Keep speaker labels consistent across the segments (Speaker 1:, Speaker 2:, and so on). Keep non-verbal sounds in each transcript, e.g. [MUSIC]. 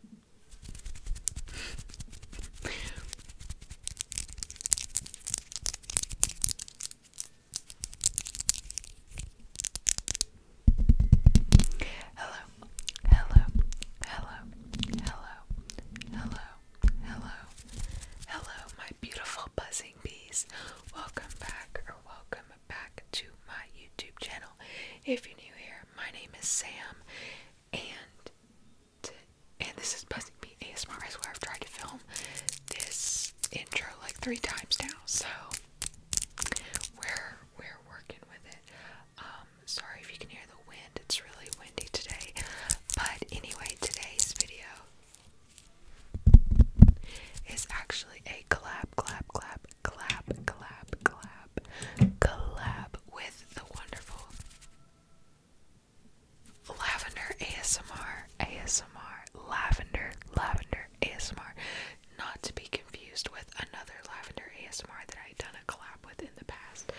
Speaker 1: hello, hello, hello, hello, hello, hello, hello, my beautiful buzzing bees. Welcome back or welcome back to my YouTube channel. If you're new here, my name is Sam, and and this is Buzzing Beat ASMR. I where I've tried to film this intro like three times now, so we're we're working with it. Um, sorry if you can hear the wind. It's really windy today, but anyway, today's video is actually a clap, clap, clap clap, clap, clap, clap, with the wonderful Lavender ASMR, ASMR, Lavender, Lavender ASMR. Not to be confused with another Lavender ASMR that I've done a collab with in the past.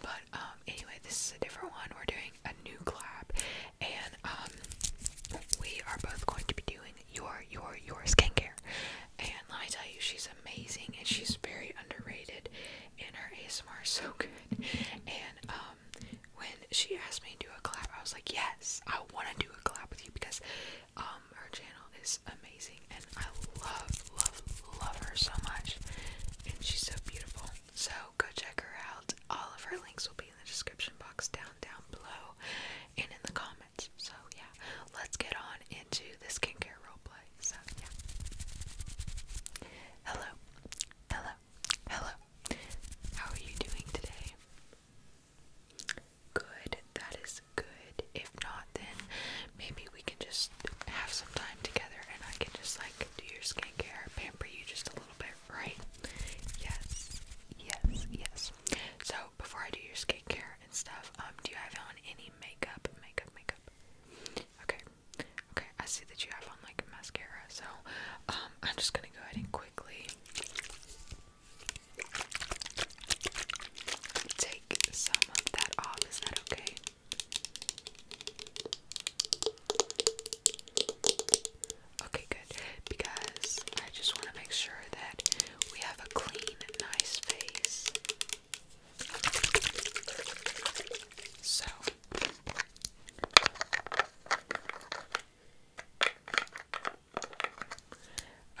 Speaker 1: But um, anyway, this is a different one. We're doing a new collab, and um, we are both going to be doing your, your, your skincare. And let me tell you, she's amazing and she's very underrated and her ASMR is [LAUGHS] so good. And um, when she asked me to do a collab, I was like, Yes, I wanna do a collab with you because um, her channel is amazing and I love, love, love her so much. And she's so beautiful. So go check her out. All of her links will be in the description box down down below and in the comments. So yeah, let's get on into the skincare roleplay. So yeah. Hello, hello, hello. How are you doing today? Good. That is good. If not, then maybe we can just have some time together, and I can just like do your skincare, pamper you just a little bit, right? Yes. Yes, yes. So before I do your skincare and stuff, um, do you have on any makeup? Makeup, makeup. Okay, okay. I see that you have on like mascara, so um, I'm just gonna go ahead and quickly take some of that off. Is that okay? Okay, good. Because I just want to make sure that we have a clean, nice face. So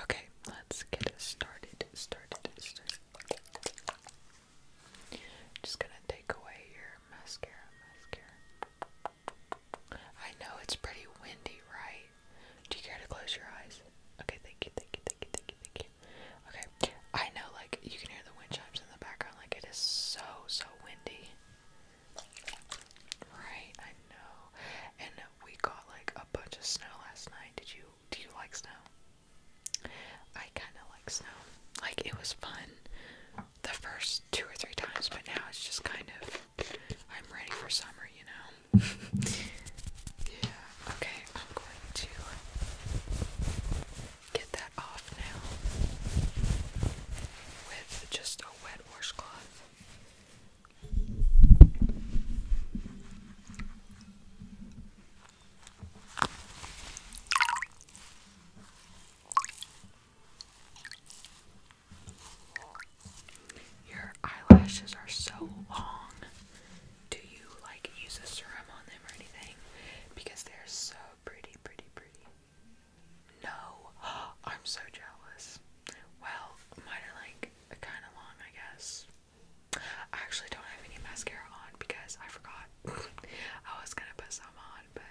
Speaker 1: Okay, let's get started. Started, started. Just gonna take away your mascara, mascara. I know it's pretty windy, right? Do you care to close your eyes? Okay, thank you, thank you, thank you, thank you, thank you. Okay. I know like you can hear the wind chimes in the background, like it is so, so windy. Right, I know. And we got like a bunch of snow last night. Did you do you like snow? I kinda like snow. Like it was fun the first two or three times, but now it's just kind of I'm ready for summer, you know yeah, okay, I'm going to get that off now with just a wet washcloth. Your eyelashes are so long. Do you like use a serum on them or anything? Because they're so pretty, pretty, pretty. No, [GASPS] I'm so jealous. Well, mine are like kind of long, I guess. I actually don't have any mascara on because I forgot. [LAUGHS] I was gonna put some on, but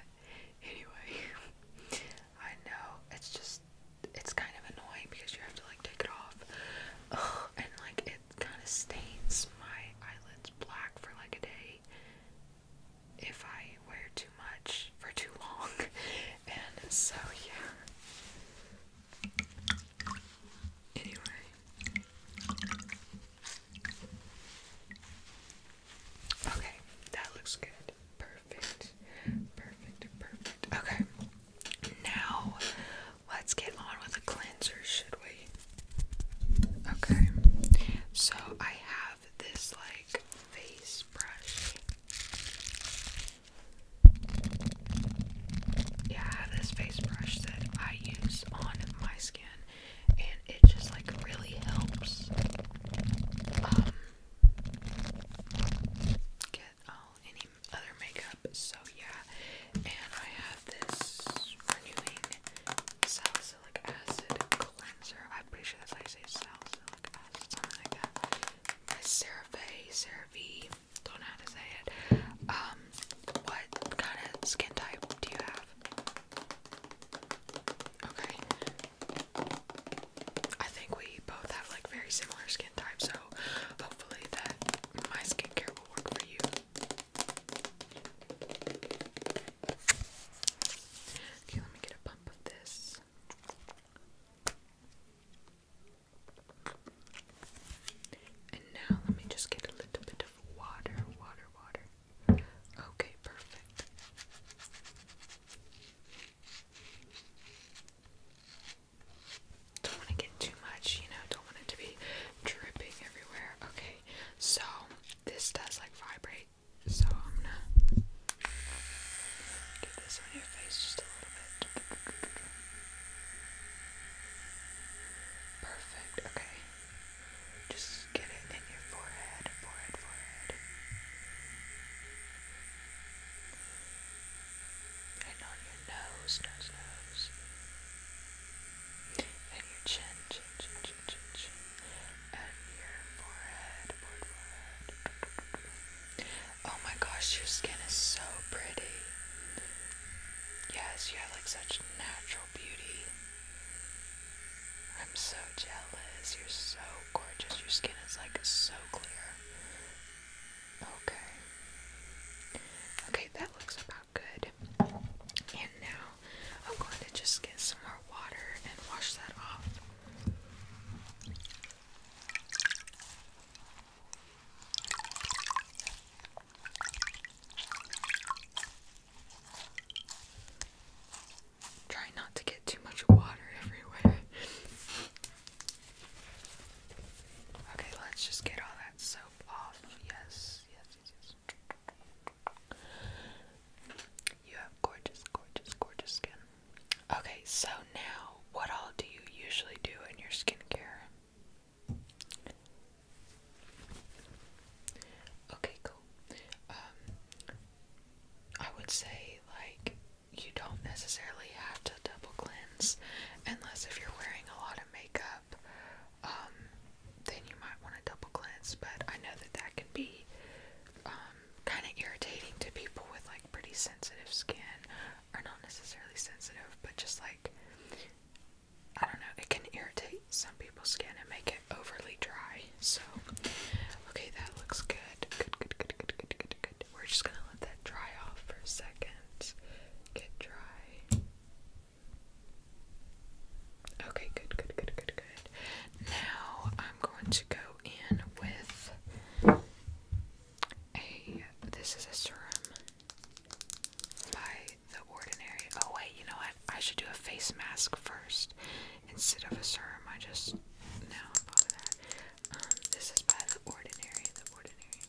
Speaker 1: anyway, [LAUGHS] I know it's just it's kind of annoying because you have to like take it off. and like it kind of stains my eyelids black for like a day if I wear too much for too long. [LAUGHS] and so yeah. Anyway. Okay, that looks good. Perfect. Perfect. Perfect. Okay. Now, let's get on with the cleanser, should we? Okay, so I have this like face brush. Yeah, this face brush that I use on my skin, and it just like really helps um, any other makeup. So yeah, and I have this renewing salicylic acid cleanser. I'm pretty sure that's how you say salicylic acid, something like that. By CeraVe, CeraVe. Don't know how to say it. Um, what kind of skin type do you have? Okay. I think we both have like very similar skin types, so hopefully that my skincare will work for you. Okay, let me get a pump of this. And now let me just get a little bit of water, water, water. Okay, perfect. Don't want to get too much, you know, don't want it to be dripping everywhere. Okay, so this does like vibrate, so I'm gonna get this on your face just a little bit. Perfect, okay. Just get it in your forehead, forehead, forehead and on your nose, nose, nose, and your chin, chin, chin, chin, chin, and your forehead, forehead. Oh my gosh, your skin is so pretty. Yes, you have like such natural beauty. I'm so jealous. You're so gorgeous. Your skin is like so clear. Okay. Okay, that looks about good. And now I'm going to just get some more water and wash that off. Try not to get too much water everywhere. Okay, let's just get all that soap off. Yes, yes, yes, You have gorgeous, gorgeous, gorgeous skin. Okay, so now what all do you usually do in your skincare? Okay, cool. Um, I would say like you don't necessarily have to double cleanse unless if you're wearing a lot of makeup, um, then you might want to double cleanse. But I know that that can be um, kind of irritating to people with like pretty sensitive skin, or not necessarily sensitive, but just like I don't know, it can irritate some people's skin and make it overly dry. So, okay, that looks good. Good, good, good, good, good, good, good, good. We're just gonna let that dry off for a second. Get dry. Okay, good, good, good, good, good. Now I'm going to go in with a. This is a serum by The Ordinary. Oh, wait, you know what? I should do a face mask first instead of a serum, I just, no, I'm not that. Um, this is by The Ordinary, The Ordinary.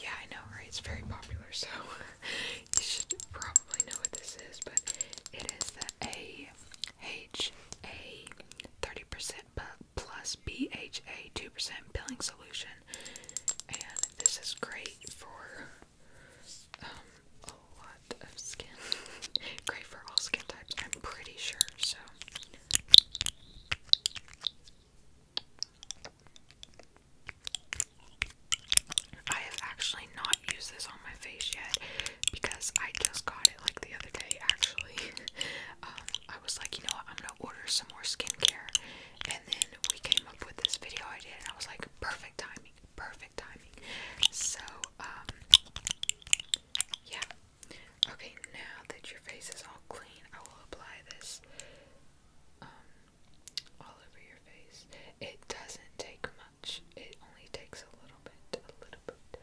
Speaker 1: Yeah, I know, right? It's very popular, so [LAUGHS] you should probably know what this is, but it is the AHA 30% plus BHA 2% peeling solution, and this is great for um, a lot of skin. [LAUGHS] Great for all skin types, I'm pretty sure, so. I have actually not used this on my face yet because I just got it like the other day actually. [LAUGHS] Um, I was like, you know what, I'm gonna order some more skincare. And then we came up with this video idea and I was like, perfect timing perfect timing. So, um, yeah. Okay, now that your face is all clean, I will apply this um, all over your face. It doesn't take much. It only takes a little bit, a little bit,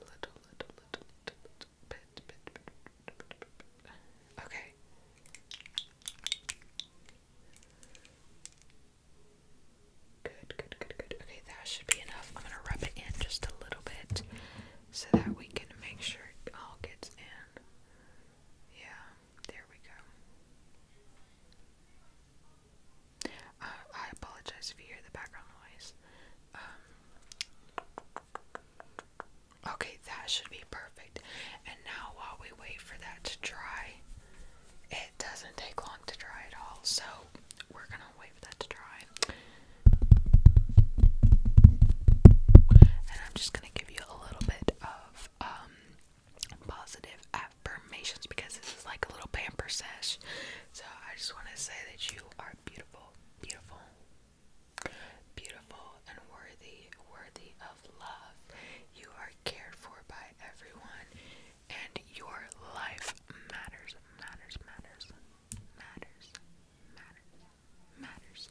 Speaker 1: little, little, little, little, bit, bit, bit, bit, bit, bit. Okay. Good, good, good, good. Okay, that should be enough. I'm gonna rub it in just a little bit so that we can make sure it all gets in. Yeah, there we go. Uh, I apologize if the background noise. Um, okay, that should be perfect. And now, while we wait for that to dry, it doesn't take long to dry at all, so we're gonna wait for that to dry. And I'm just gonna give you a little bit of um, positive affirmations because this is like a little pamper sesh. So I just wanna say that you are beautiful, beautiful, beautiful and worthy, worthy of love. You are cared for by everyone and your life matters, matters, matters, matters, matters, matters.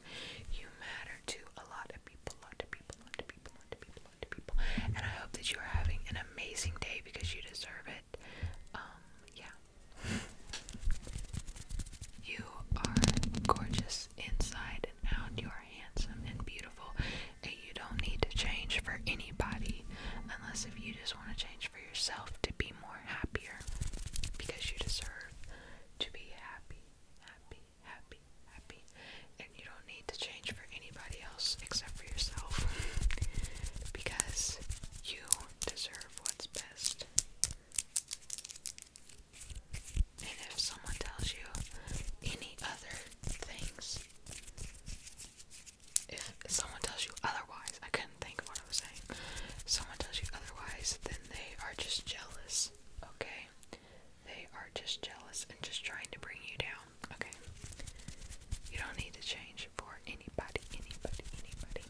Speaker 1: You matter to a lot of people, lot of people, lot of people, lot of people, lot of people. And I hope that you are having an amazing day because you deserve it. Um, yeah. You are gorgeous inside and out. You are handsome and beautiful you don't need to change for anybody unless if you just want to change for yourself to be more happier because you deserve to be happy, happy, happy, happy, and you don't need to change for anybody else except for yourself because you deserve what's best. And if someone tells you any other things, if someone tells you otherwise, I couldn't think of what I was saying. someone tells you otherwise, then they are just jealous, okay? They are just jealous and just trying to bring you down, okay? You don't need to change for anybody, anybody, anybody.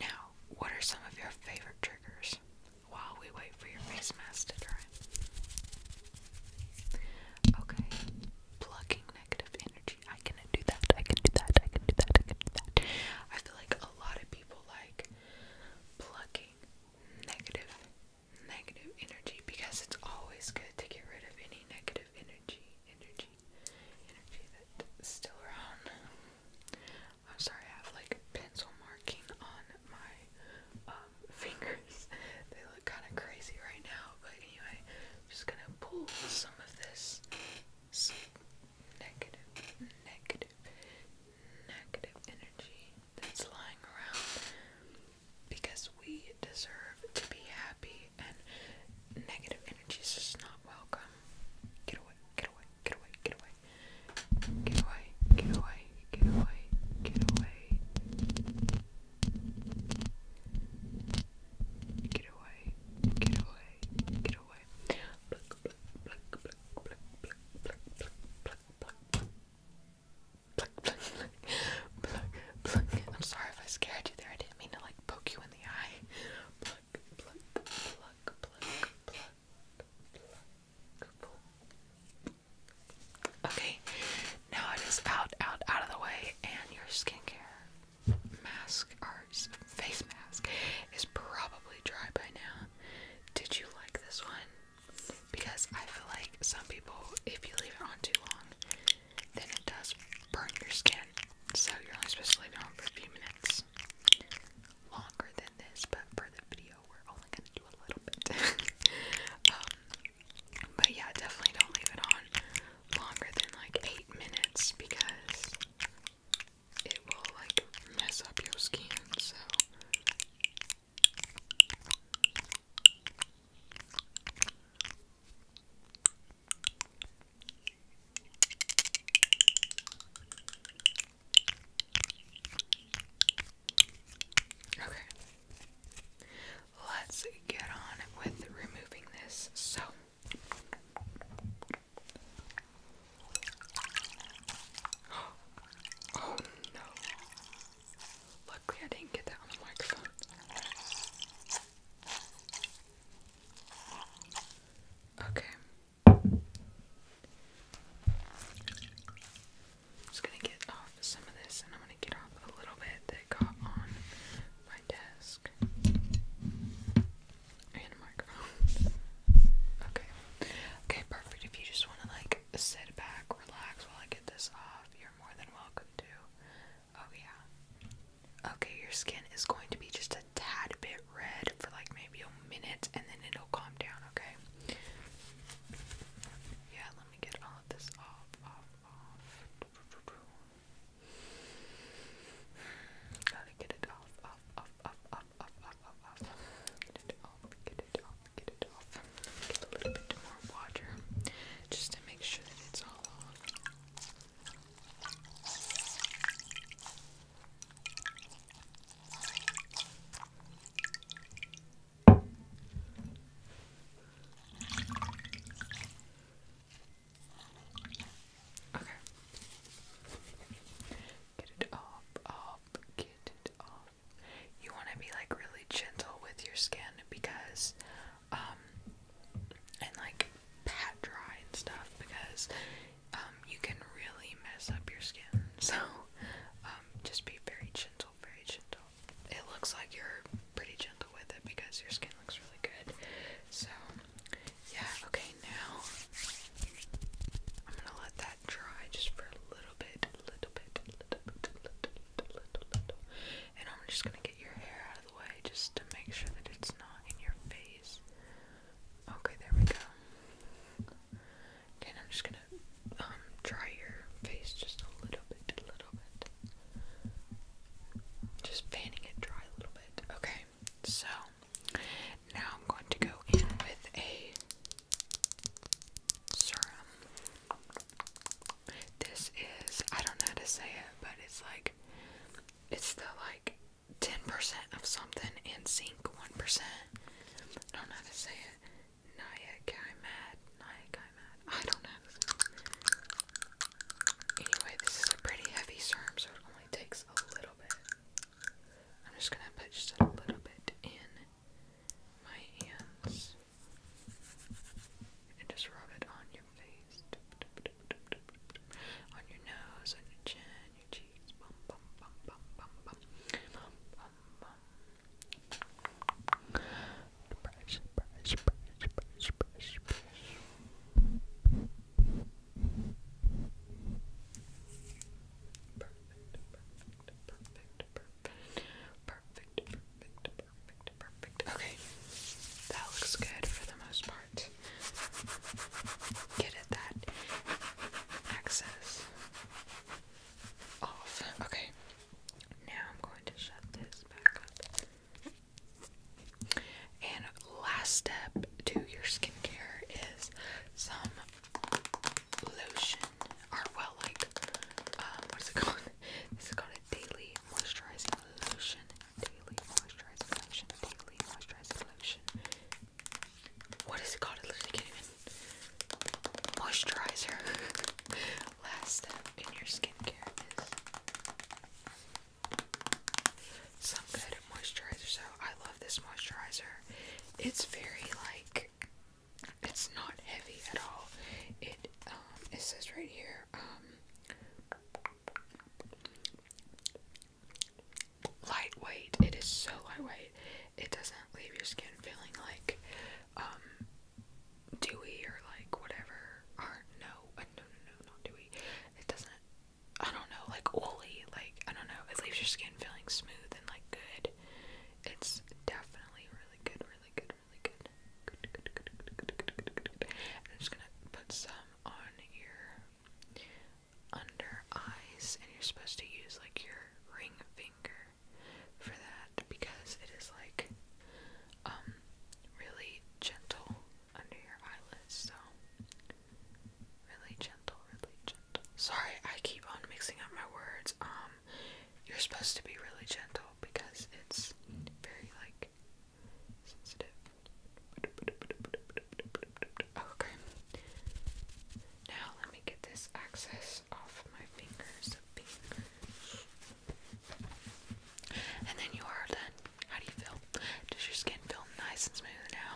Speaker 1: Now, what are some of your favorite triggers? while we wait for your face to dry. Okay. Plucking negative energy. I can do that. I can do that. I can do that. I can do that. I feel like a lot of people like plucking negative negative energy because it's always good to get rid of any negative energy. Energy. Energy that's still around. I'm sorry, I have like pencil marking on my uh, [LAUGHS] fingers. They look kind of crazy right now, but anyway, I'm just gonna pull some of this negative, negative, negative energy that's lying around because we deserve to be happy, and negative energy is just not welcome. Get away, get away, get away, get away. Get away, get away, get away, get away. Get away, get away, pluck, pluck, pluck, pluck, pluck, pluck, pluck, pluck. Pluck, pluck, pluck, pluck, pluck. I'm sorry if I scared you there. I didn't mean to like poke you in the eye. Pluck, pluck, pluck, pluck, pluck, pluck, Okay, now it is out, out, out of the way, and your skincare mask or face mask is probably dry by now. Did you like this one? Because I feel like some people, if you leave it on too long, then it does burn your skin. So you're only supposed to leave it on for a few minutes longer than but for the video, we're only gonna do a little bit. [LAUGHS] Um, but yeah, definitely don't leave it on longer than like eight minutes because it will like mess up your skin. So. Okay. Let's get on with removing this. So [GASPS] Oh no. Luckily I didn't get that on the microphone. Okay. I'm just gonna get off some of this and I'm gonna get off a little bit that got on my desk and a microphone. Okay. Okay, perfect. If you just wanna like sit back, relax while I get this off, you're more than welcome to. Oh yeah. Okay, your skin is going to be just a tad bit red for like maybe a minute and then it'll calm down, okay? Yeah, let me get all of this off, off, off. Gotta get it off, off, off, off, off, off, off. Get it off, get it off, get it off. Get a little bit more water just to make sure that it's all off. Okay. Get it up, up, get it up. You want to be like really gentle with your skin because, um, and like pat dry and stuff because um, you can really mess up your skin. [LAUGHS] So, um, just be very gentle, very gentle. It looks like you're pretty gentle with it because your skin looks really good. So, yeah, okay, now I'm gonna let that dry just for a little bit, little bit, little bit, little, little, little, little. And I'm just gonna get your hair out of the way just to make sure that it's not in your face. Okay, there we go. Okay, I'm just gonna um, dry your face just a little bit, a little bit. Just fanning it dry a little bit. Okay, so now I'm going to go in with a serum. This is I don't know how to say it, but it's like it's the like ten percent of something and sink one percent. I don't know how to say it. Nayakai mad. Nayakai mad. I don't know Anyway, this is a pretty heavy serum, so it only takes a little bit. I'm just gonna put just a little bit in my hands and just rub it on your face, on your nose, on your chin, Okay. That looks good for the most part get at that access off. Okay, now I'm going to shut this back up. And last step to your skincare is some lotion, or well, like, um, what is it called? This is called a daily moisturizing lotion. Daily moisturizing lotion. Daily moisturizing lotion what is it called? It literally can't even. Moisturizer. [LAUGHS] Last step in your skincare is some good moisturizer. So I love this moisturizer. It's very like it's not heavy at all. It um it says right here um lightweight. It is so lightweight. It doesn't leave your skin feeling like um, dewy or like whatever. no, uh, no, no, no, not dewy. It doesn't. I don't know, like oily. Like I don't know. It leaves your skin feeling smooth and like good. It's definitely really good, really good, really good. I'm just gonna put some on your under eyes, and you're supposed to use like your ring finger for that because it is like um really gentle under your eyelids, so really gentle, really gentle. Sorry, I keep on mixing up my words. Um you're supposed to be really gentle because it's very like sensitive. Okay. Now let me get this excess off my fingers. And then you are done. How do you feel? Does your skin feel nice and smooth now?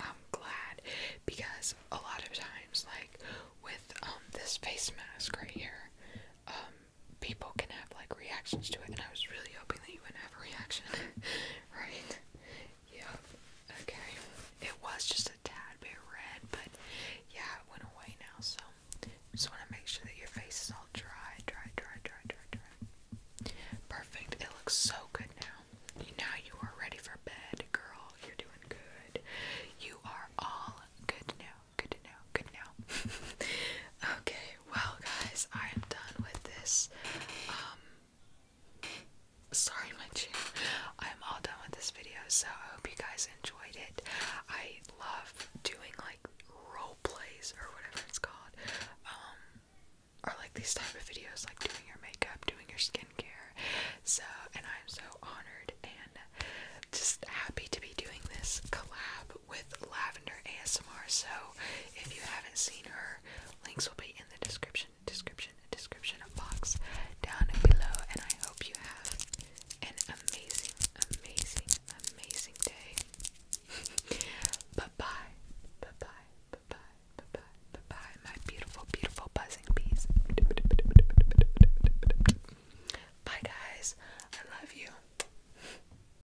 Speaker 1: I'm glad because a lot of times, like with um, this face mask right here, um, people can have like reactions to it, and I was really hoping that you wouldn't reaction, [LAUGHS] right? Yeah, okay. It was just a tad bit red, but yeah, it went away now, so just want to make sure that your face is all dry, dry, dry, dry, dry, dry. Perfect. It looks so good now. Now you are ready for bed, girl. You're doing good. You are all good now. Good to Good now. [LAUGHS] okay, well, guys, I am done with this. Um, sorry, my chin. I'm all done with this video, so I hope you guys enjoyed it. I love doing like role plays or whatever it's called, um, or like these type of videos, like doing your makeup, doing your skincare. So, and I'm so honored and just happy to be doing this collab with Lavender ASMR. So if you haven't seen her, links will be in the description, description, description box down below. And I hope you have an amazing, amazing, amazing day. [LAUGHS] bye bye, bye bye, bye bye, bye bye, bye bye, my beautiful, beautiful buzzing bees. Bye, guys. I love you.